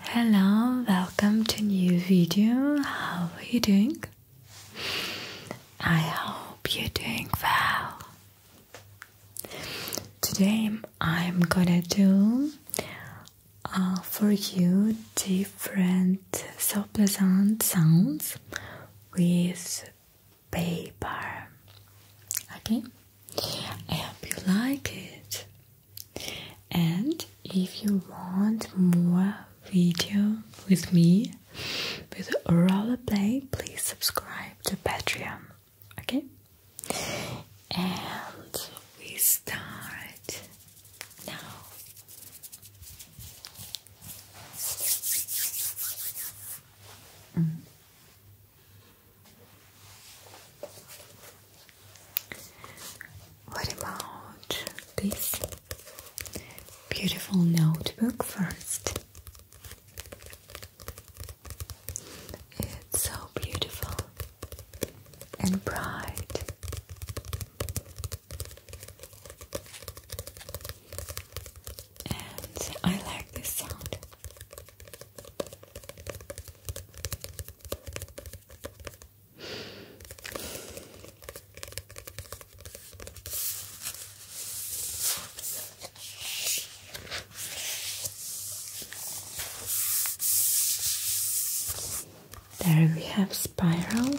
Hello, welcome to new video. How are you doing? I hope you're doing well. Today I'm gonna do uh, for you different so pleasant sounds with paper. Okay, I hope you like it and if you want more video with me with roller rollerblade please subscribe to patreon okay and we start now mm. What about this beautiful notebook first? It's so beautiful and bright. And I like this sound. There we have spiral. spiral.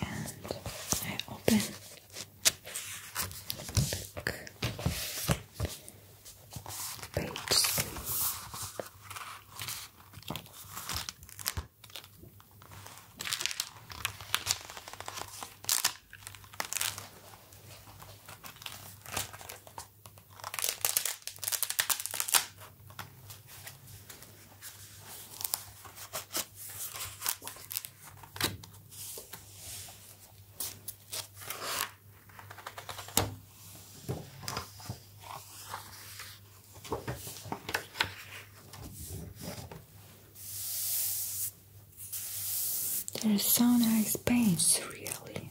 And I open book pages. There's so nice paints, really.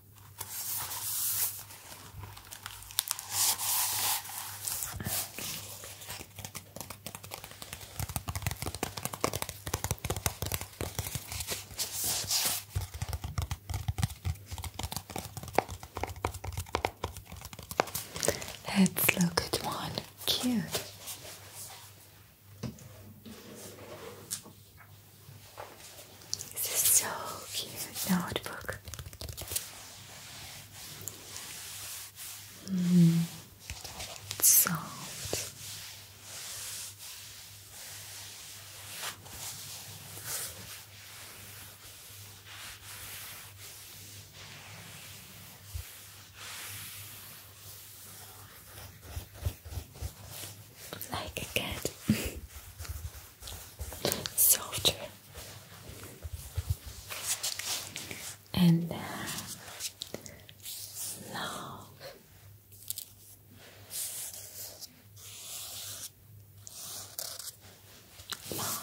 Let's look at one. Cute. This is so cute notebook. Mm. soft like a cat, softer, and uh, love. love.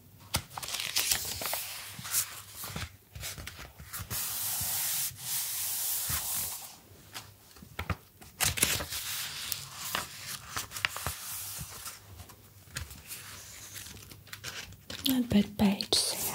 Not bad pages,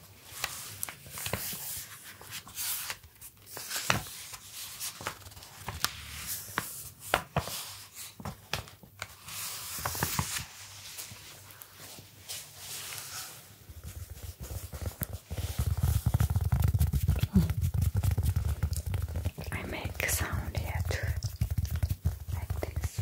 I make sound here like this.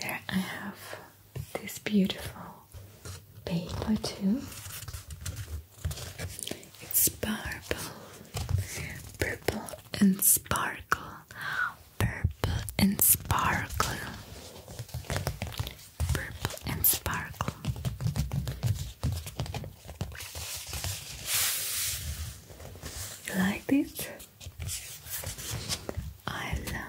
There I have this beautiful paper too. It's purple, purple and sparkle, purple and sparkle, purple and sparkle. You like this? I love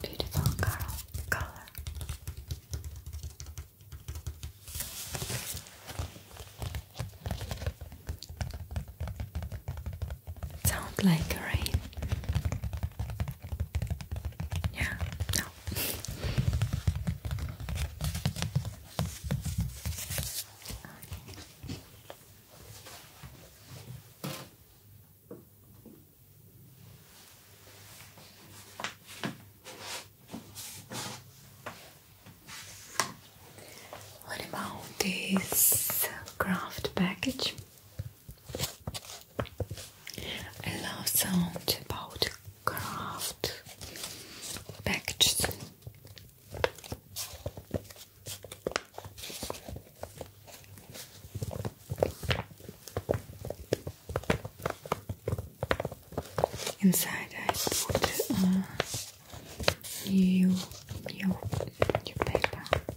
Beautiful color. Sound like rain. Yeah, no. What about this craft package? I love sound about craft packages. Inside I put uh, new, new, paper.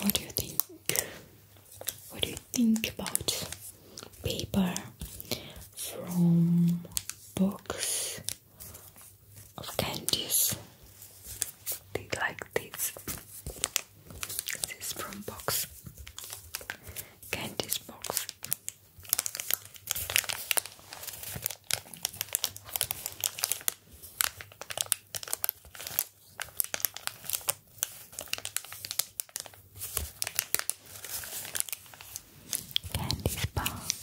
What do you think? What do you think about paper from box of candies? Like this. This is from box Candy box. Candy's box.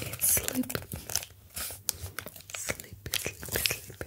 It's sleepy. Sleepy, sleepy,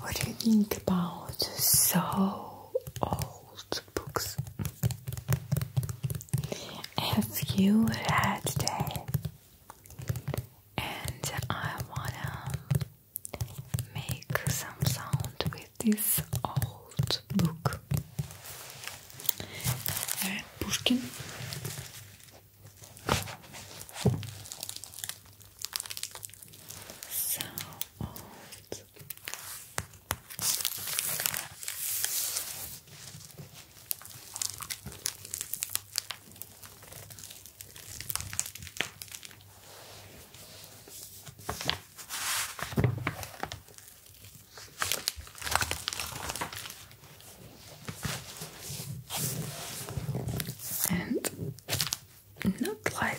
What do you think about so old books? Have you read them? And I wanna make some sound with this old book. Pushkin. So old and not light.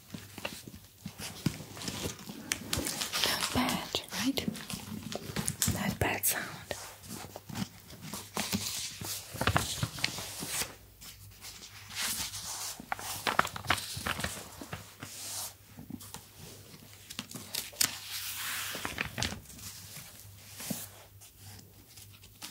Not bad, right? Not bad sound.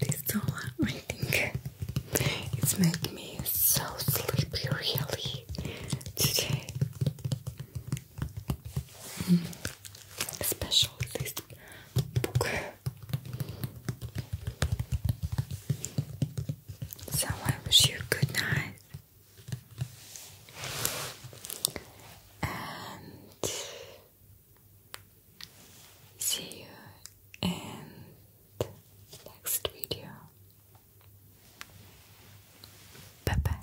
This dollar, I think it's made me so sleepy, really, today. Hmm. Especially this book. So I wish you good night. And See you in next video. Bye bye.